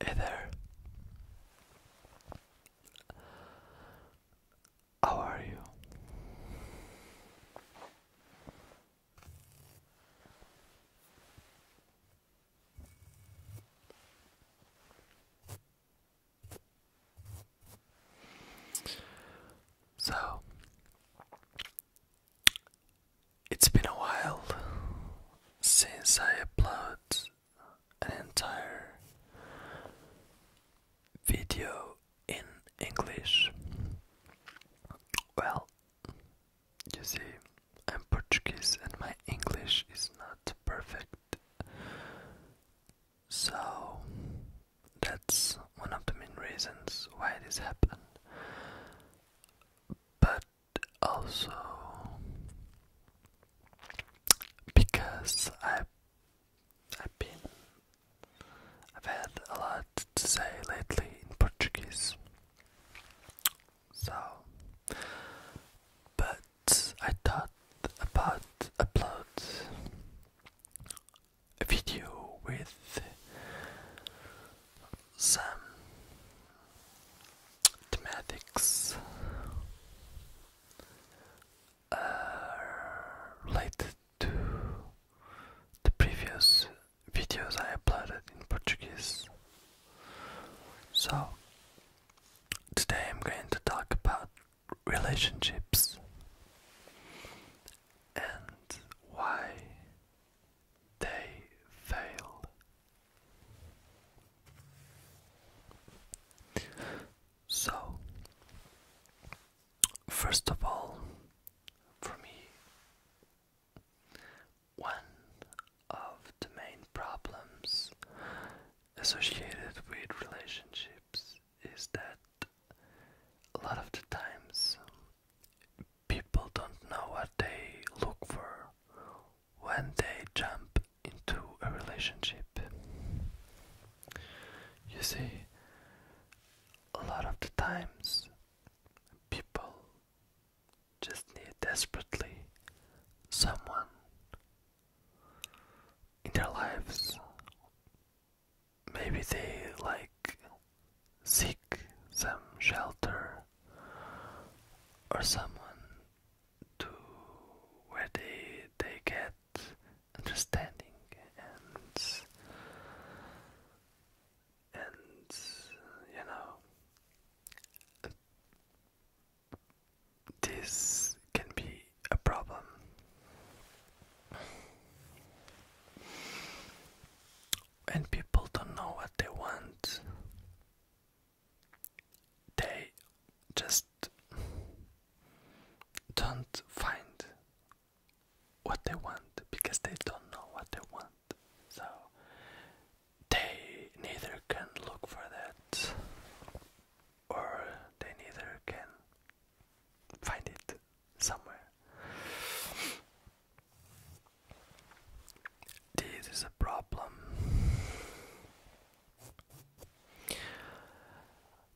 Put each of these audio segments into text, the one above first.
Hey there. How are you? So, it's been a while since I upload an entire video in English. Well, you see, I'm Portuguese and my English is not perfect. So, that's one of the main reasons why this happened. But also because I I've been I've had a lot to say lately in Portuguese. So but I thought about upload a video with some thematics uh, related to the previous videos I uploaded in Portuguese. So, today I'm going to talk about relationships and why they fail so, first of all, for me, one of the main problems associated with relationships is that a lot of the times people don't know what they look for when they jump into a relationship. You see, a lot of the times people just need desperately someone in their lives. Maybe they like seek some shelter or someone to where they they get understanding and and you know this can be a problem when people don't know what they want, they just don't find what they want because they don't know what they want. So they neither can look for that or they neither can find it somewhere. This is a problem.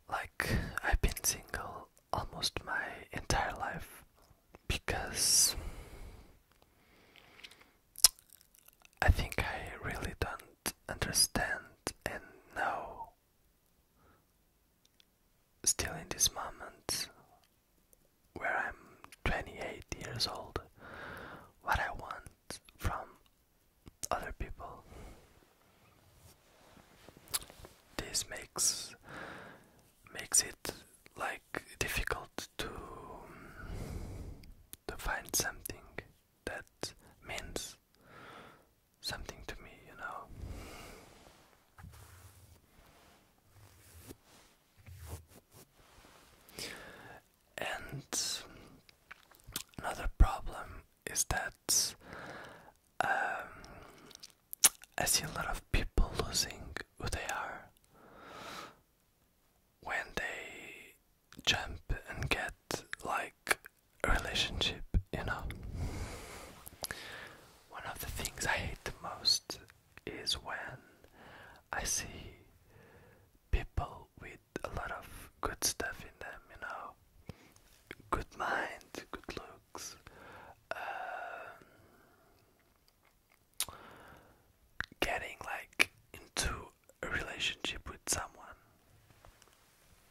Like, I've been single almost my entire life because I think I really don't understand and know. Still in this moment, where I'm 28 years old, what I want from other people. This makes makes it like difficult to to find something that means something to me, you know. And another problem is that um, I see a lot of people losing who they are when they jump and get like a relationship, you know. One of the things I hate the most is when I see people with a lot of good stuff in them, you know, good mind, good looks, um, getting like into a relationship with someone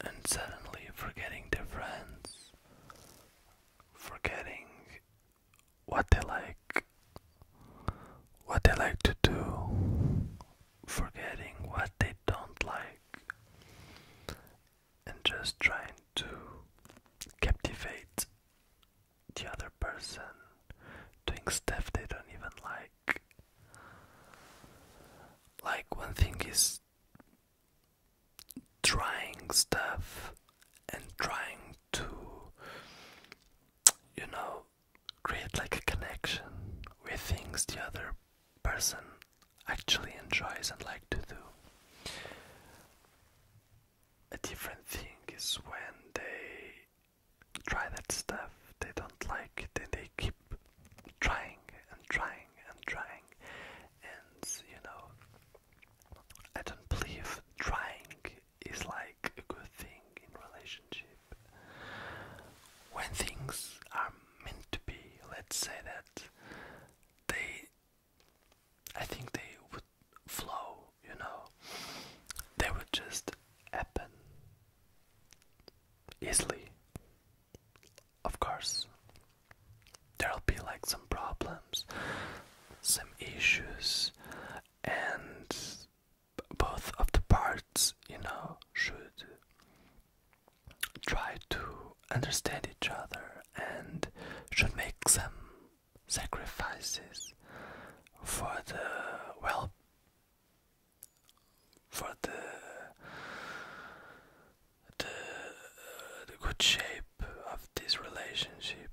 and suddenly forgetting their friends, forgetting what they like what they like to do forgetting what they don't like and just trying to captivate the other person doing stuff they don't even like like one thing is trying stuff and trying to, you know, create like a connection with things the other person actually enjoys and like to do. A different thing is when they try that stuff they don't like then they keep trying and trying and trying and you know I don't believe trying is like a good thing in relationship. When things are meant to be, let's say that they I think they would flow, you know. They would just happen easily. Of course there'll be like some problems, some issues, and both of the parts, you know, should try to understand each other and should make some sacrifices for the well for the the, the good shape of this relationship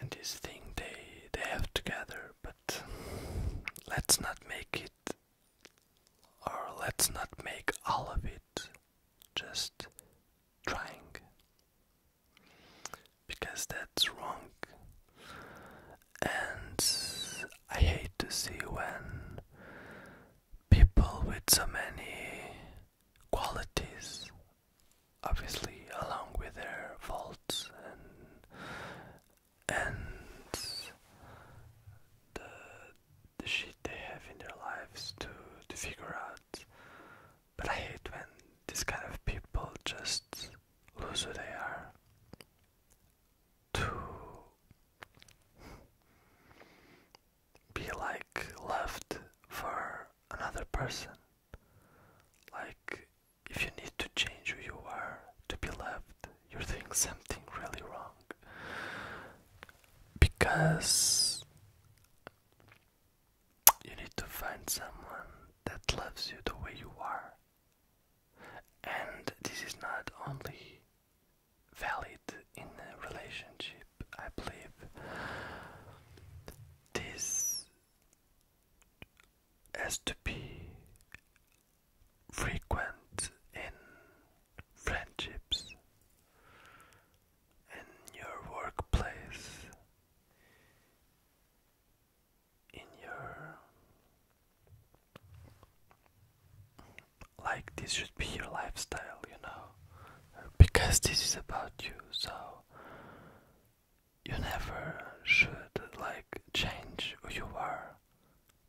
and this thing they they have together, but let's not make it or let's not make all of it just trying because that's wrong and I hate to see when people with so many qualities, obviously, along with their faults and and the the shit they have in their lives to to figure out. But I hate when this kind of people just lose who they are be like left for another person. Like if you need to change who you are to be loved, you're doing something really wrong. Because you need to find someone that loves you the way you are. And this is not only valid in a relationship, I believe this has to be frequent in friendships, in your workplace, in your like this should be your lifestyle, you know because this is about you, so you never should like change who you are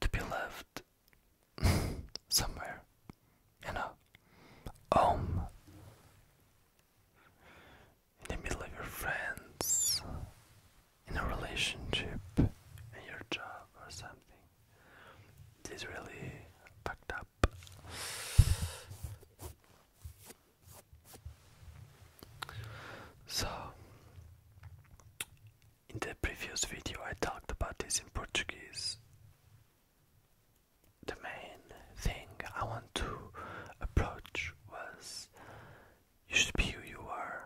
to be left somewhere, you know, home in the middle of your friends, in a relationship, in your job or something. This really fucked up. So, in the previous video, I talked about this in Portuguese. The main thing I want to approach was you should be who you are,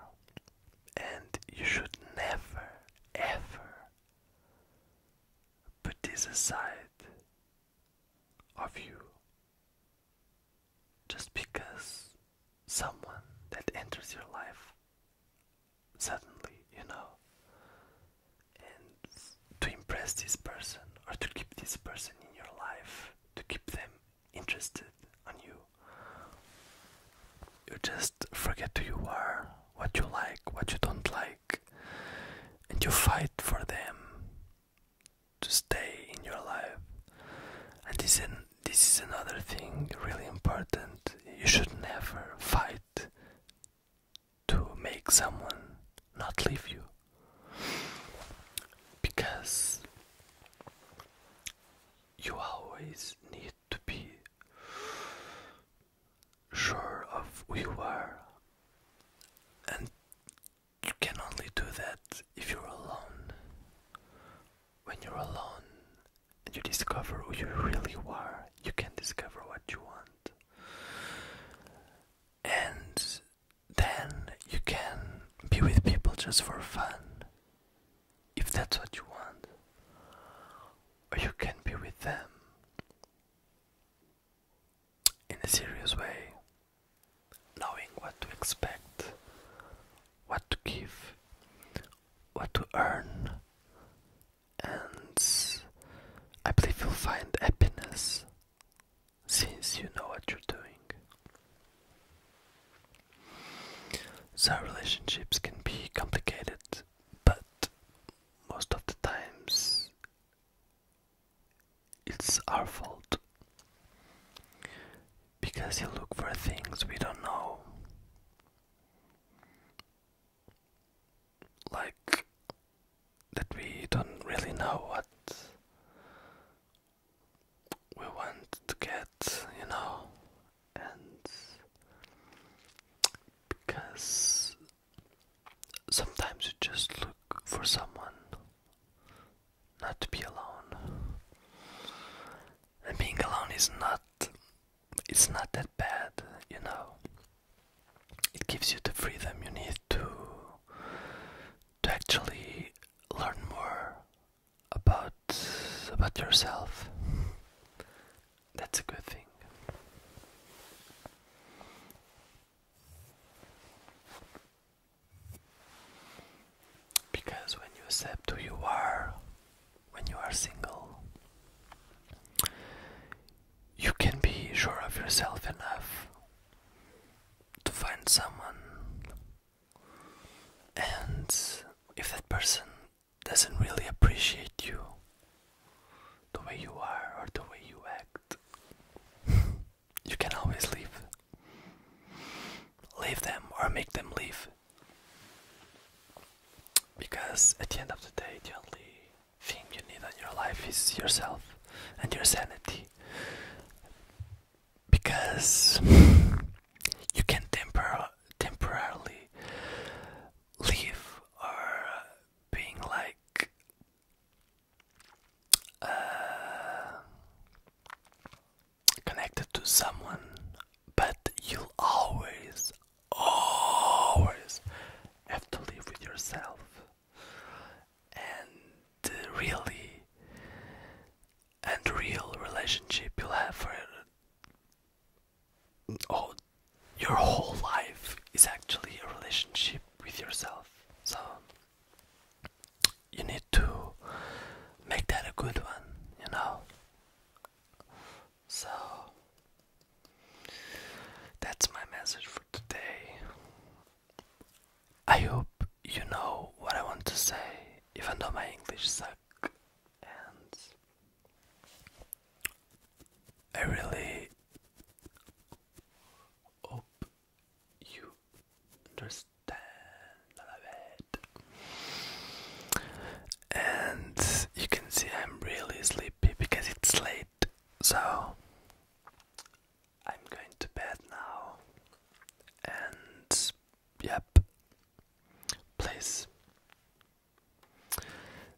and you should never, ever Put this aside of you just because someone that enters your life suddenly, you know, and to impress this person or to keep this person in your life, to keep them interested on you. You just forget who you are, what you like, what you don't like and you fight for them to stay in your life. And this is another thing really important. You should never fight to make someone not leave you. Because you always need to be sure of who you are. And you can only do that if you're alone. When you're alone and you discover who you really are, you can discover what you want. And then you can be with people just for fun, if that's what you want. Or you can be with them in a serious way, knowing what to expect, what to give, what to earn, and I believe you'll find happiness since you know what you're doing. So, relationships can be complicated, but most of the times it's our fault because you look for things we don't know. Like that we don't really know what we want to get, you know, and because sometimes you just look for someone not to be alone and being alone is not it's not that bad you know it gives you the freedom you need to to actually learn more about about yourself that's a good thing. Because when you accept who you are, when you are single, you can be sure of yourself enough to find someone, and if that person doesn't really appreciate you the way you are or the way you act. you can always leave. Leave them or make them leave. Because at the end of the day, the only thing you need in your life is yourself and your sanity. Because you can tempor temporarily leave are uh, being like uh, connected to someone, but you'll always, always have to live with yourself and uh, really and real relationship you'll have for oh, your whole life is actually a relationship with yourself. So you need to make that a good one, you know. So that's my message for today. I hope you know what I want to say, even though my English is sucks and I really hope you understand a bit. And you can see I'm really sleepy because it's late, so I'm going to bed now. And yep, please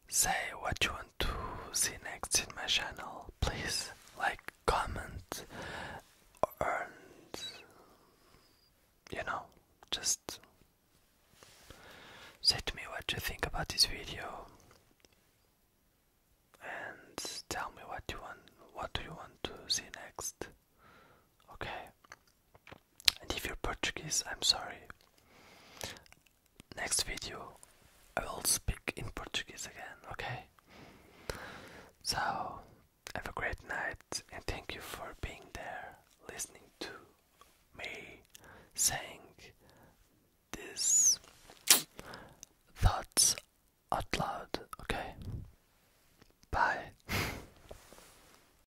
Say what you want to see next in my channel. Please like, comment, and you know, just say to me what you think about this video and tell me what you want what do you want to see next Okay. And if you're Portuguese, I'm sorry. Next video, I will speak in Portuguese again, okay? So, have a great night and thank you for being there, listening to me saying these thoughts out loud, okay? Bye.